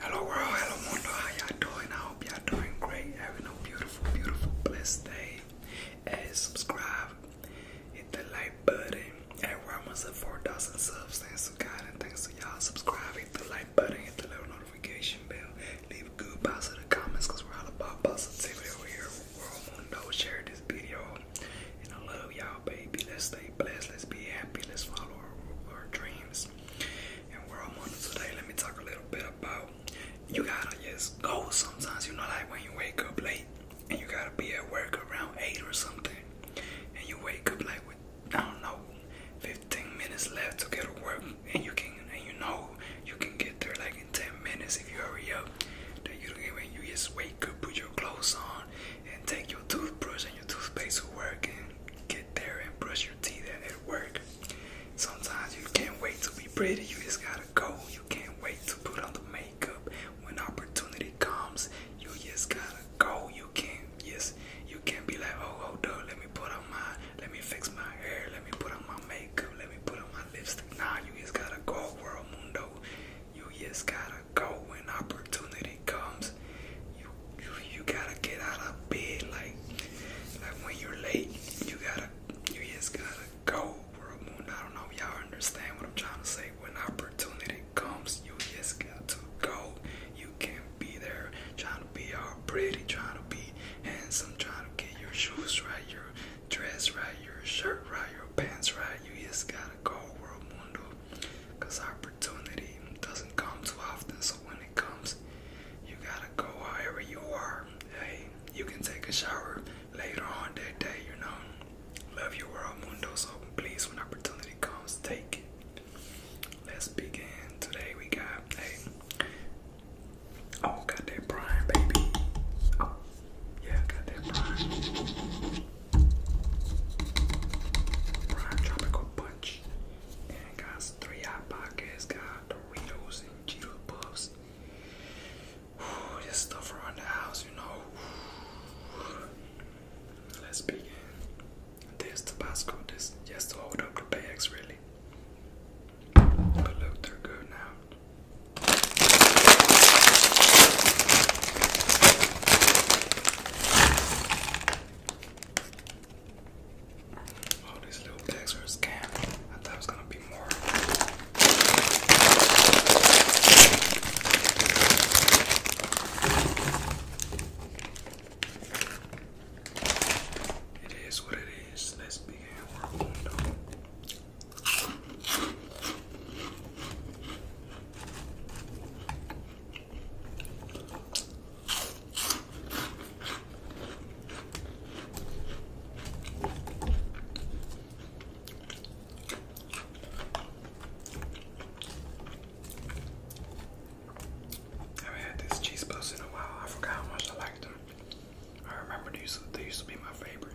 Hello world, hello mundo, how y'all doing? I hope y'all doing great, having a beautiful, beautiful, blessed day. And subscribe, hit the like button. Everywhere I'm at 4,000 subs, thanks to God and thanks to y'all. Subscribe, hit the like button, hit the little notification bell. Leave good positive comments because we're all about positivity over here. World mundo, share this video. And I love y'all, baby. Let's stay blessed, let's be happy, let's follow our dreams. And where I'm on today, let me talk a little bit about you gotta just go sometimes, you know, like when you wake up late and you gotta be at work around 8 or something, and you wake up like with, I don't know, 15 minutes left to get to work, and you can, and you know, you can get there like in 10 minutes if you hurry up. That you don't even, you just wake up, put your clothes on, and take your toothbrush and your toothpaste to work and get there and brush your teeth and at work. Sometimes you can't wait to be pretty, you just gotta go. You can't wait to put on the makeup. When opportunity comes, you just gotta go. You can't yes, you can't be like, oh oh, up, let me put on my let me fix my hair, let me put on my makeup, let me put on my lipstick. Nah, you just gotta go, world mundo. You just gotta go when opportunity comes. You you, you gotta get out of bed. Like like when you're late, you gotta you just gotta go. World moon. I don't know. Y'all understand what I'm trying to say? When opportunity comes, you just got to go. You can't be there trying to be all pretty, trying to be handsome, trying to get your shoes right, your dress right, your shirt right, your pants right. You just gotta go, world mundo because opportunity doesn't come too often. So when it comes, you gotta go wherever you are. Hey, you can take a shower later on that day. You know, love your world, mundo. open. please, when opportunity comes, take it. Let's begin. Today we got hey. Oh, got that prime, baby. Oh, yeah, got that prime. Tropical Punch. got three hot pockets, got Doritos and Cheeto this stuff around the house, you know. Let's begin. This Tabasco, this just to hold up the bags, really. But look, they're good now. All oh, these little bags are a scam. I thought it was gonna be more. It is what it is. Let's begin haven't had this cheese puffs in a while. I forgot how much I liked them. I remember they used to, they used to be my favorite.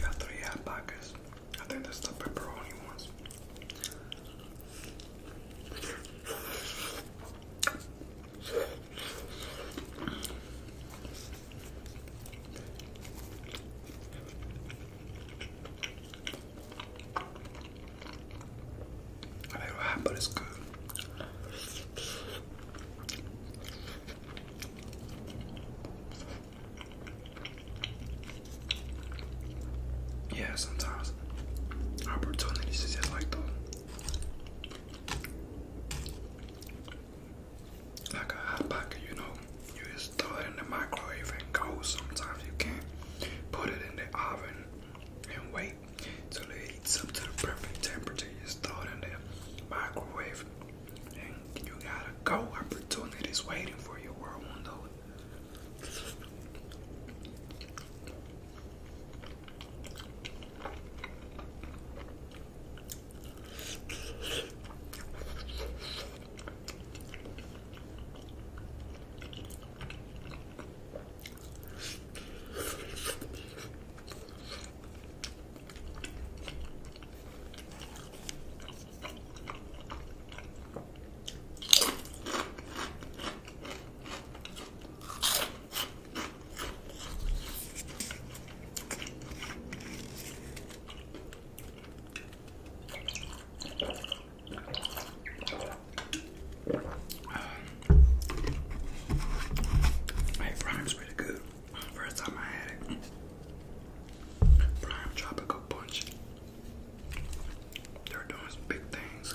Got three hot pockets. I think that's the pepperoni ones. I don't know but it's good. Yeah, sometimes opportunities is just like those. Like a hot pocket, you know. You just throw it in the microwave and go. Sometimes you can't put it in the oven and wait until it heats up to the perfect temperature. You just throw it in the microwave and you gotta go. Opportunities waiting for you, world won't Hey, Brian's really good. First time I had it. Prime Tropical Punch. They're doing some big things.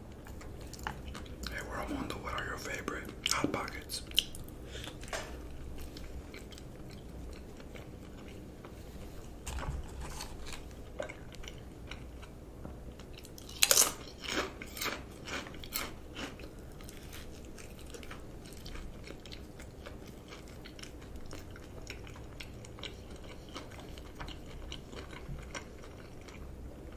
Hey, we're what are your favorite hot pockets?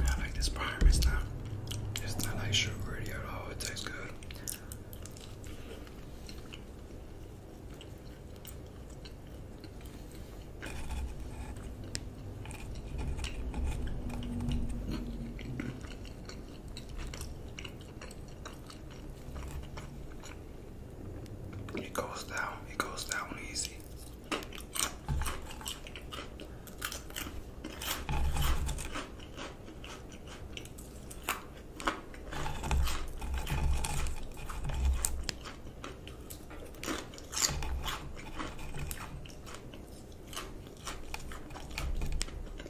I like this prime. It's not, it's not like sugary at all. It tastes good. It goes down, it goes down easy.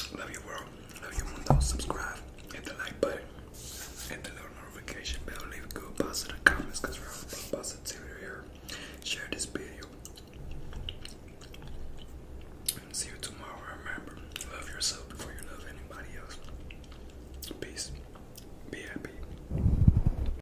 Love you world. Love you mundo. Subscribe. Hit the like button. Hit the little notification bell. Leave a good positive comments because we're all positivity here. Share this video. see you tomorrow. Remember, love yourself before you love anybody else. Peace. Be happy.